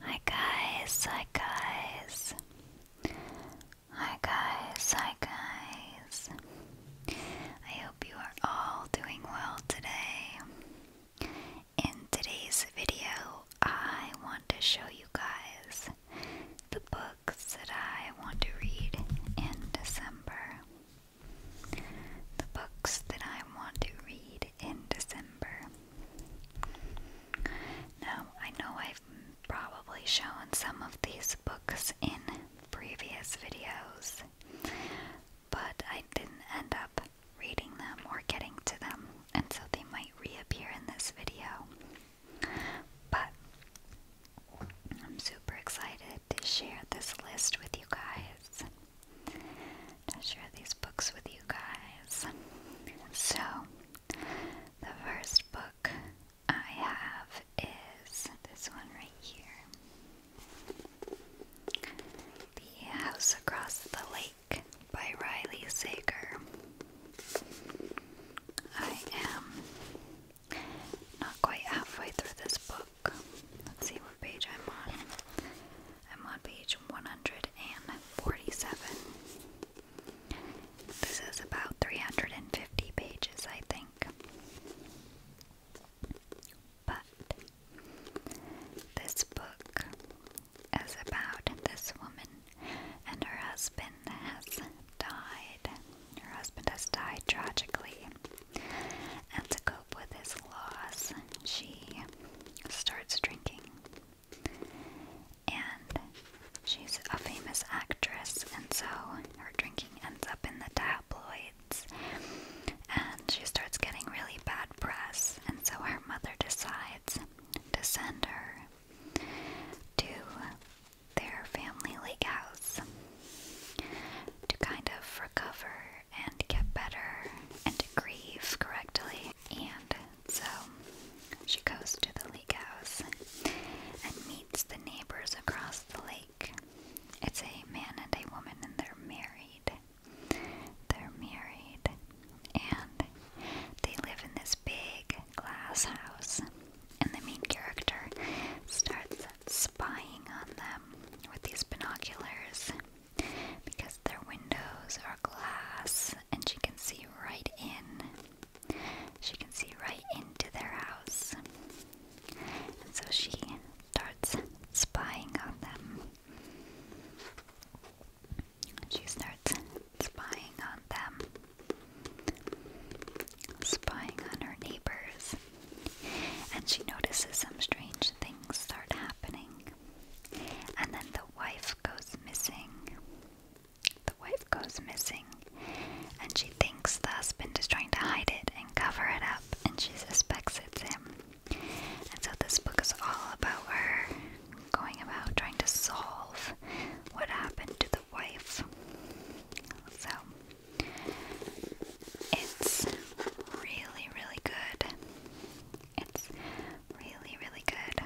Hi guys, hi guys. Hi guys, hi guys. I hope you are all doing well today. In today's video, I want to show you guys the books that I want to read in December. The books that I want to read in December. Now, I know I've probably shown some of these books in previous videos, but I didn't end up reading them or getting to them, and so they might reappear in this video. But I'm super excited to share this list with you guys to share these books with you guys. So, the first book I have is this one right here The House Across the Lake by Riley Sager. I am not quite halfway through this book. Let's see what page I'm on. I'm on page 147. This is about 350 pages, I think. But this book is about this woman and her husband has died. Her husband has died tragically. And to cope with his loss, she starts drinking. And she's a famous actress, and so her drinking ends up in the tabloids. And she starts getting really bad press, and so her mother decides to send her to their family lake house to kind of recover and get better and to grieve correctly. And so she goes to the lake house and meets the neighbors across the lake. It's a man and a woman, and they're married. They're married, and they live in this big glass house. And the main character starts spying on them with these binoculars because their windows are glass and she can see right in. She can see right into their house. And so she starts spying on them. She starts spying on them. Spying on her neighbors. And she notices some strange things start happening. And then the wife goes missing. The wife goes missing. And she thinks the husband is trying to hide it and cover it up, and she suspects it's him. And so this book is all about her going about trying to solve what happened to the wife. So it's really, really good. It's really, really good.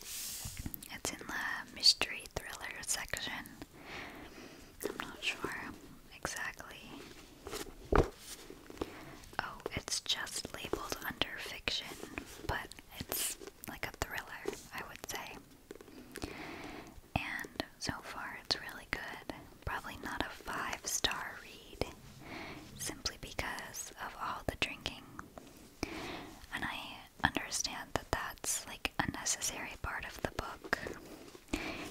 It's in the mystery thriller section. I'm not sure exactly. Oh, it's just labeled under fiction, but it's like a thriller, I would say. And so far, it's really good probably not a five star read simply because of all the drinking. And I understand that that's like a necessary part of the book.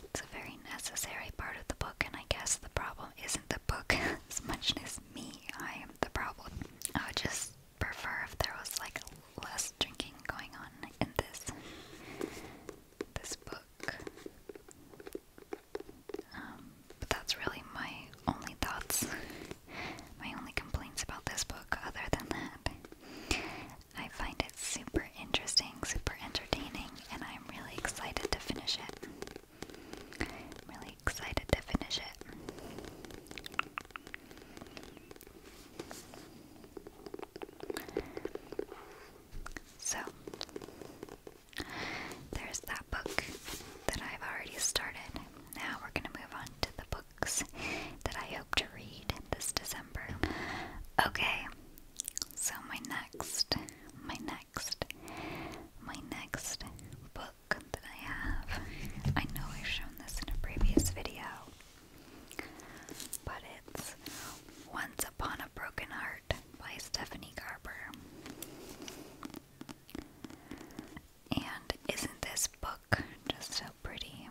It's a very necessary part of the book, and I guess the problem isn't the book as much as me. I am the problem. I would just prefer if there was like less drinking going on in this this book. Um, but that's really my only thoughts, my only complaints about this book, other than that. I find it super interesting, super entertaining, and I'm really excited to finish it. really excited to finish it. So, there's that book that I've already started. Now we're going to move on to the books that I hope to read this December. Okay. So my next my next my next book that I have. I know I've shown this in a previous video. But it's Once Upon a Broken Heart by Stephanie Garber. And isn't this book just so pretty?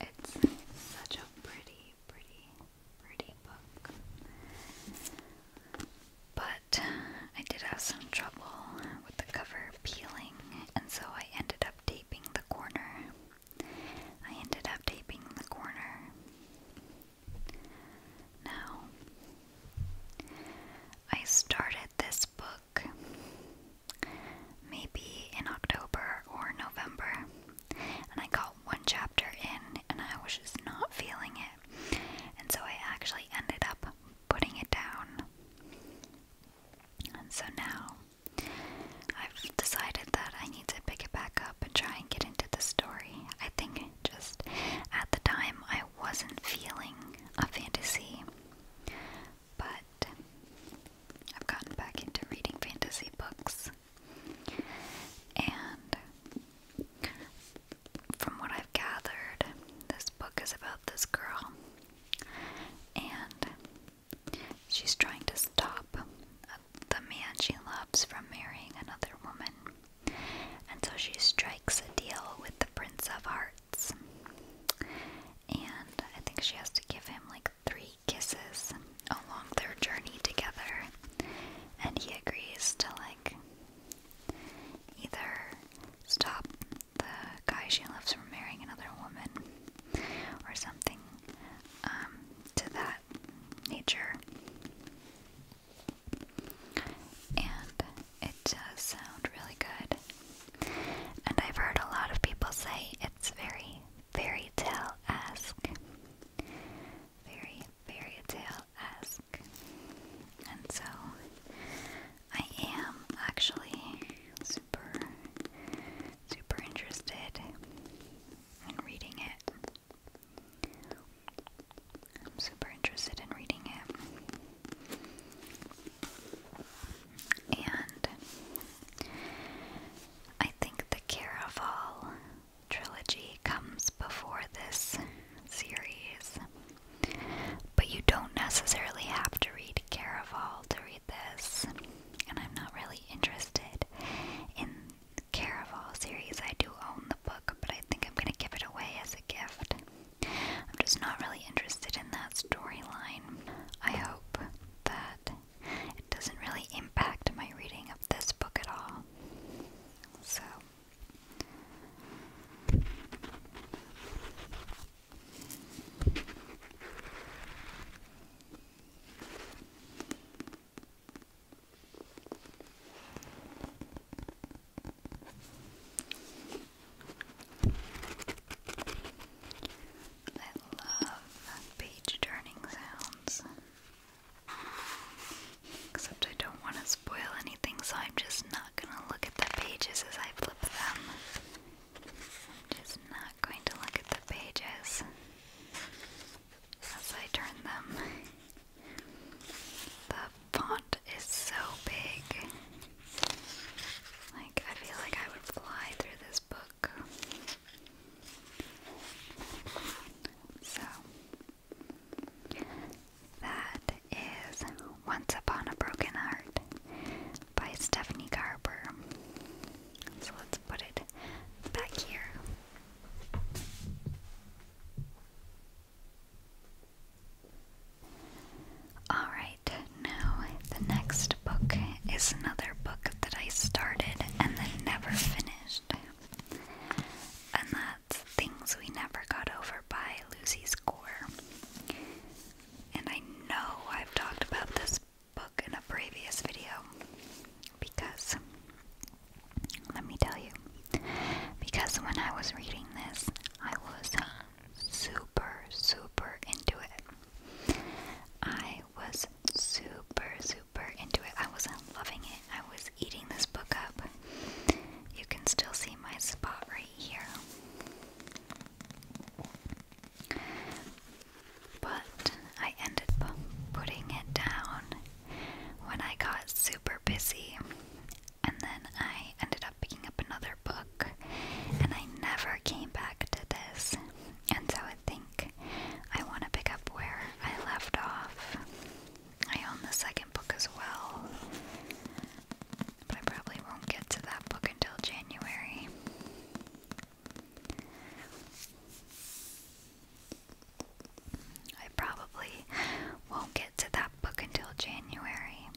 It's such a pretty, pretty, pretty book. But I did have some trouble with the cover peeling, and so I ended up taping the corner I ended up taping the corner. Now, I started this book maybe in October or November, and I got one chapter in and I was just not feeling it, and so I actually ended up putting it down. And so now I've decided that I need to pick it back up and try and get into the story. I think just at the time I wasn't feeling a fantasy, but I've gotten back into reading fantasy books. And from what I've gathered, this book is about this girl. And She's trying to stop the man she loves from marrying another woman. And so she strikes a deal with the Prince of Hearts. And I think she has to give him like three kisses along their journey together. And he agrees to like either stop the guy she loves from marrying another woman or something um, to that nature. And it does sound really good. And I've heard a lot of people say it's very fairy tale esque. Very fairy tale esque. And so I am actually super, super interested in reading it. I'm super interested in reading it. And I think the Caraval trilogy comes before this series. But you don't necessarily have to read read Caraval to read this, and I'm not really interested in the Caraval series. I do own the book, but I think I'm gonna give it away as a gift. I'm just not really interested in that storyline. I hope that it doesn't really impact my reading of this book at all. So. I love page turning sounds. Except I don't want to spoil anything, so I'm just not gonna look at the pages as I flip them. I'm just not going to look at the pages as I turn them. The font is so big. Like, I feel like I would fly through this book. So, that is Once Upon a Broken Heart by Stephanie Garber. So let's put it back here. Alright, now the next book is another book that I started and then never finished. And that's Things We Never Got Over by Lucy Score. And I know I've talked about this book in a previous video because, let me tell you, because when I was reading this, I was super, super into it. I was super, super into it. I was loving it. I was eating this book up. You can still see my spot right here. But I ended up putting it down when I got super busy, and then I ended up picking up another book, and I never came back to this. And so I think I want to pick up where I left off. I own the second book as well. But I probably won't get to that book until January. I probably won't get to that book until January.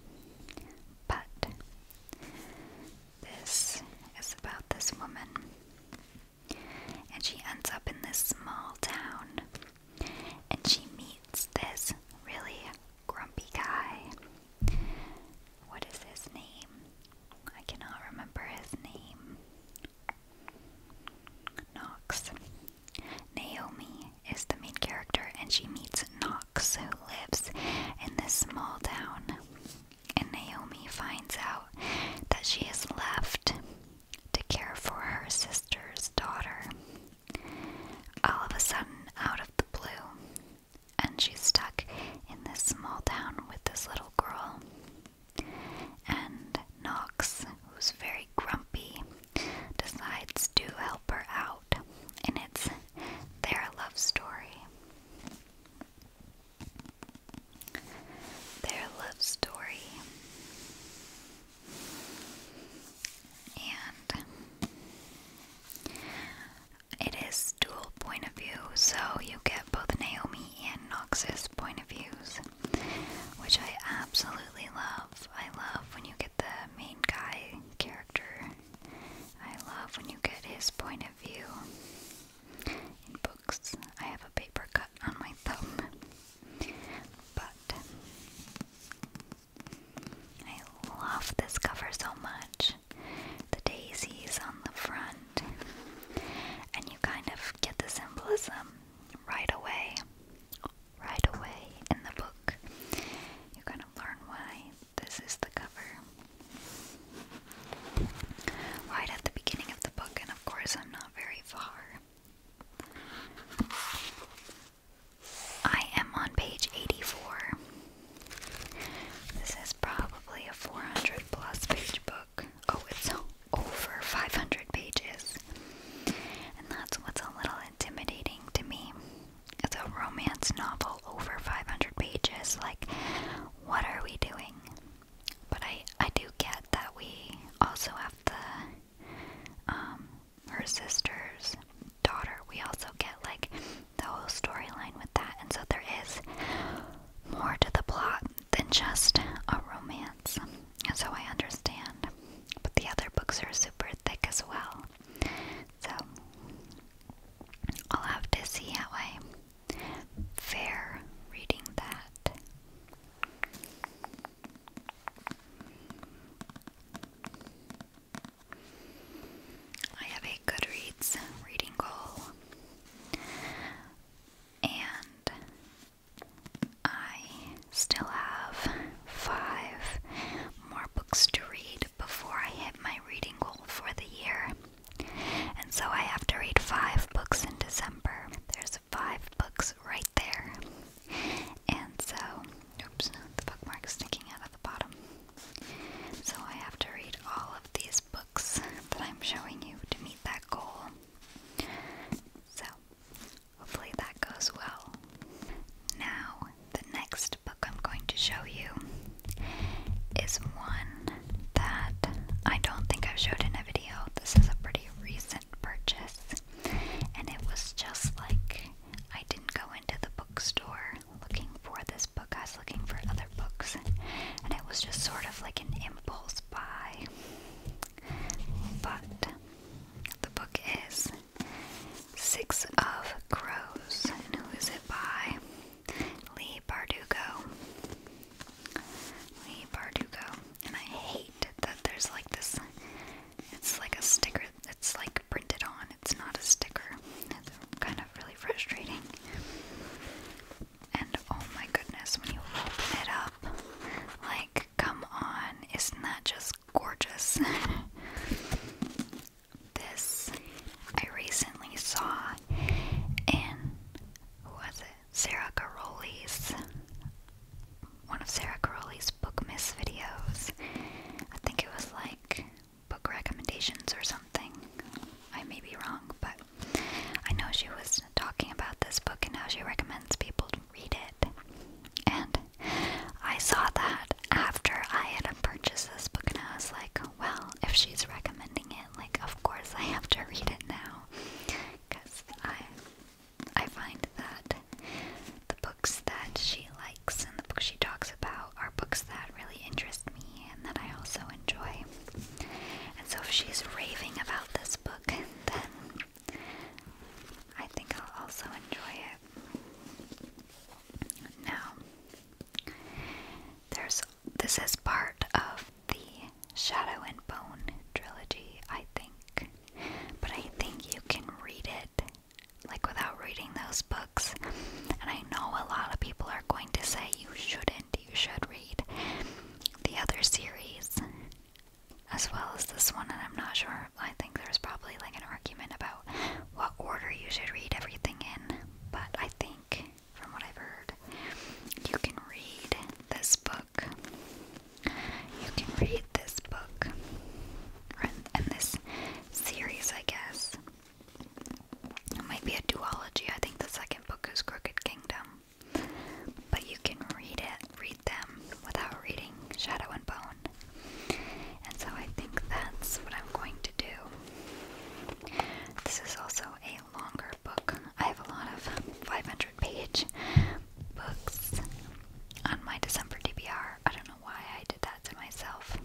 But this is about this woman. And she ends up in this small town. And she meets this really grumpy guy what is his name? I cannot remember his name. Knox. Naomi is the main character, and she meets Knox, who lives in this small town. And Naomi finds out that she is left to care for her sister's daughter. All of a sudden, out of the blue, and she's stuck in this small town with this little girl. And Knox, who's very grumpy, decides to help her out, and it's their love story. Their love story. And it is dual point of view, so you get both Naomi and Noxus point of views, which I absolutely love. I love when you get the main guy character. I love when you get his point of view. In books, I have a paper cut on my thumb. But I love this cover so much. The daisies on the front. And you kind of get the symbolism right away. Right away in the book. You kind of learn why this is the cover. Right at the beginning of the book, and of course, I'm not very far. I am on page 84. This is probably a 400 plus page book. Oh, it's over 500 pages. And that's what's a little intimidating to me. It's a romance novel over 500 pages. Like, what are we doing? But I, I do get that we also have to. Um, her sister's daughter. We also get like the whole storyline with that, and so there is more to the plot than just a romance. And so I understand. But the other books are super thick as well. So I'll have to see how I fare reading that. I have a Goodreads reading goal, and I still have five more books to read before I hit my reading goal for the year. And so I have to read five books in December. There's five books right there. And so, oops, the bookmark's sticking out of the bottom. So I have to read all of these books that I'm showing you to meet that goal. So, hopefully that goes well. Now, the next book I'm going to show you is one that I don't think I've showed in a video. This is a pretty recent purchase, and it was just like I didn't go into the bookstore looking for this book. I was looking for other books, and it was just sort of like an impulse buy. But the book is Six of Crows, and who is it by? Lee Bardugo. Lee Bardugo. And I hate that there's like this it's like a sticker It's like printed on. It's not a sticker. It's kind of really frustrating. And oh my goodness, when you open it up, like, come on, isn't that just gorgeous? this I recently saw in, who was it? Sarah Caroli's one of Sarah Crowley's book miss videos. I think it was like book recommendations or something. I may be wrong, but I know she was talking about this book and how she recommends people to read it. And I saw that after I had purchased this book, and I was like, well, if she's recommending it, like, of course I have to read it now. Because I I find that the books that she likes and the books she talks about are books that really interest me and that I also enjoy. And so if she's raving about this book, then I think I'll also enjoy it. Now, there's this is part of the Shadow and Bone trilogy, I think. But I think you can read it it like without reading those books. And I know a lot of people are going to say you shouldn't, you should read the other series as well as this one, and I'm not sure. I think there's probably like an argument about what order you should read everything in, but I think from what I've heard, you can read this book you can read this book and this series, I guess. It might be a duology. I think the second book is Crooked Kingdom. But you can read it, read them without reading Shadow and Bone. And so I think that's what I'm going to do. This is also a longer book. I have a lot of 500 page books on my December DBR. I don't know why I did that to myself.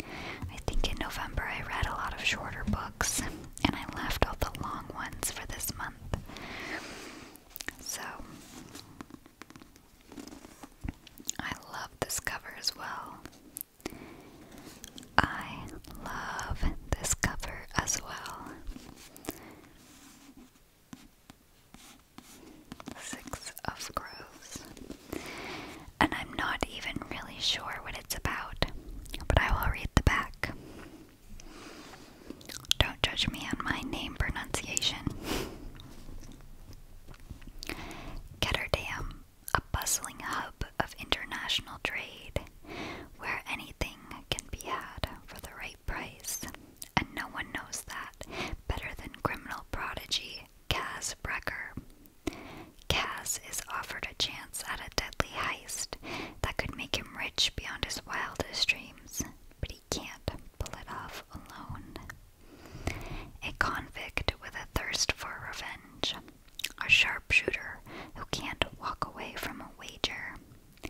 I think in November I read a lot of shorter books and I left all the long ones for this month. So I love this cover as well. I love this cover as well. Six of Crows. And I'm not even really sure what it's about, but I will read the back. Don't judge me on my name pronunciation. Ketterdam, a bustling hub of international trade, where anything can be had for the right price, and no one knows that better than criminal prodigy Cas Brecker. Cas is offered a chance at a deadly heist that could make him rich beyond his wildest dreams, but he can't pull it off alone. A convict with a thirst for revenge, a sharpshooter who can't walk away from a wager,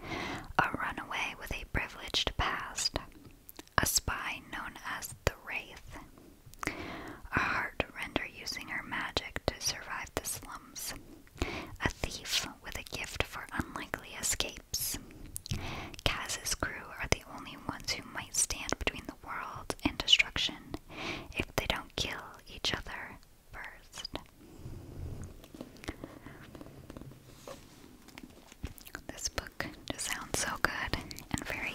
a runaway with a privileged past, a spy known as the Wraith. A heart render using her magic to survive the slums. A thief with a gift for unlikely escapes. Kaz's crew are the only ones who might stand between the world and destruction if they don't kill each other first. This book just sounds so good and very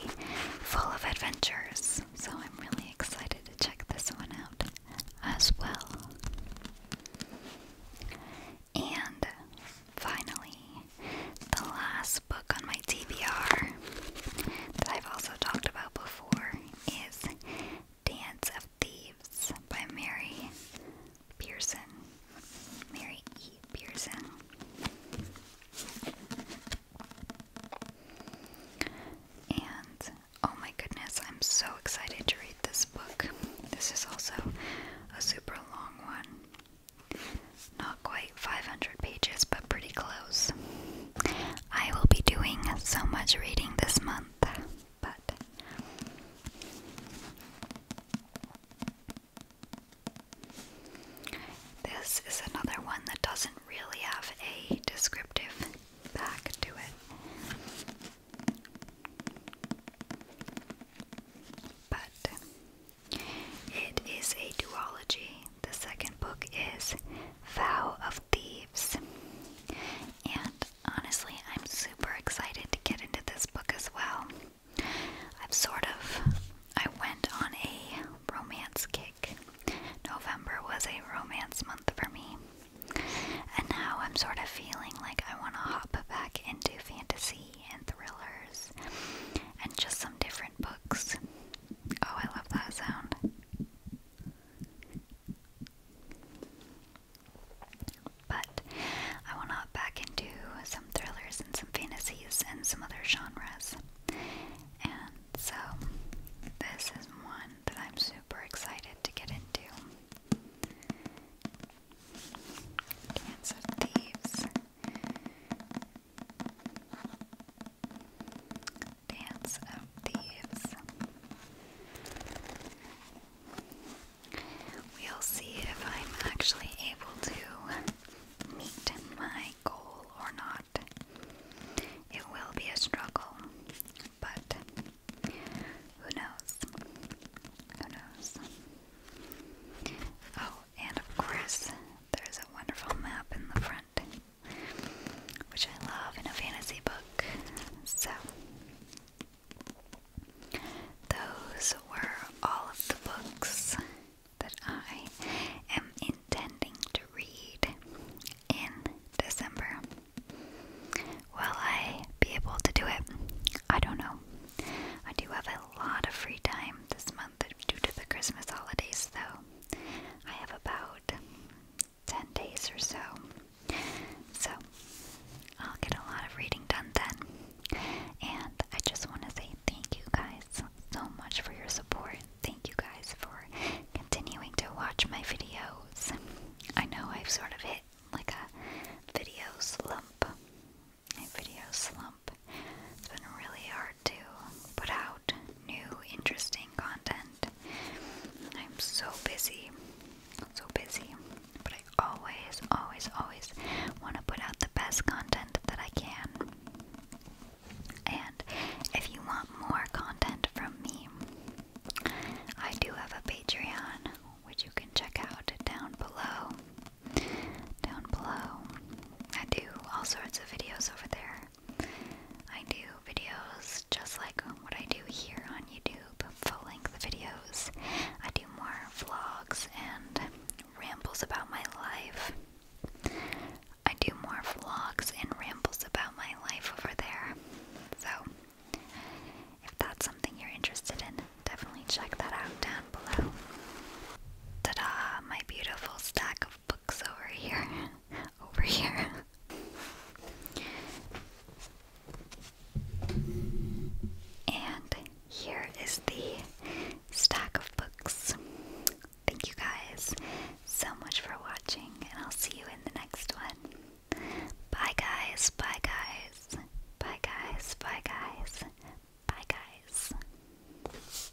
full of adventures, so I'm really excited to check this one out as well. And finally, the last book on my TBR that I've also talked about before is Dance of Thieves by Mary Pearson, Mary E. Pearson. And oh my goodness, I'm so excited to read this book. This is also a super long one. Not quite 500 pages, but pretty close. I will be doing so much reading this month but this is another one that doesn't really have a descriptive back to it. But it is a duology. The second book is Vow of Thieves. And Honestly, I'm super excited to get into this book as well. I've sort of I went on a romance kick. November was a romance month for me. And now I'm sort of feeling like I want to hop back into fantasy and thrillers and just some different books. Oh, I love that sound. But I will not back into some thrillers and some fantasies and some other genres. And so, this is one that I'm super excited to get into. Dance of Thieves. Dance of Thieves. We'll see if I'm actually able to meet my goal or not. It will be a struggle, but who knows? Who knows? Oh, and of course, there's a wonderful map in the front, which I love in a fantasy book. So, those were all of the books that I am intending to read in December. Will I be able to do it? I don't know. I do have a lot of free time this month due to the Christmas holidays, though. I have about 10 days or so so, I'll get a lot of reading done then. And I just want to say thank you guys so much for your support. Thank you guys for continuing to watch my videos. I know I've sort of hit like a video slump. A video slump. It's been really hard to put out new, interesting content. I'm so busy. So busy. But I always, always, always want to put out the best content that I can. And if you want more content from me, I do have a Patreon, which you can check out down below. Down below. I do all sorts of videos over there. I do videos just like what I do here on YouTube full length videos. I do more vlogs and rambles about my life. I do more vlogs and rambles about my life over there. So, if that's something you're interested in, definitely check that out down below. Ta da! My beautiful stack of books over here. over here. And here is the stack of books. Thank you guys so much for watching, and I'll see you in the next one. Bye, guys. Bye, guys. Bye, guys. Bye, guys. Bye, guys.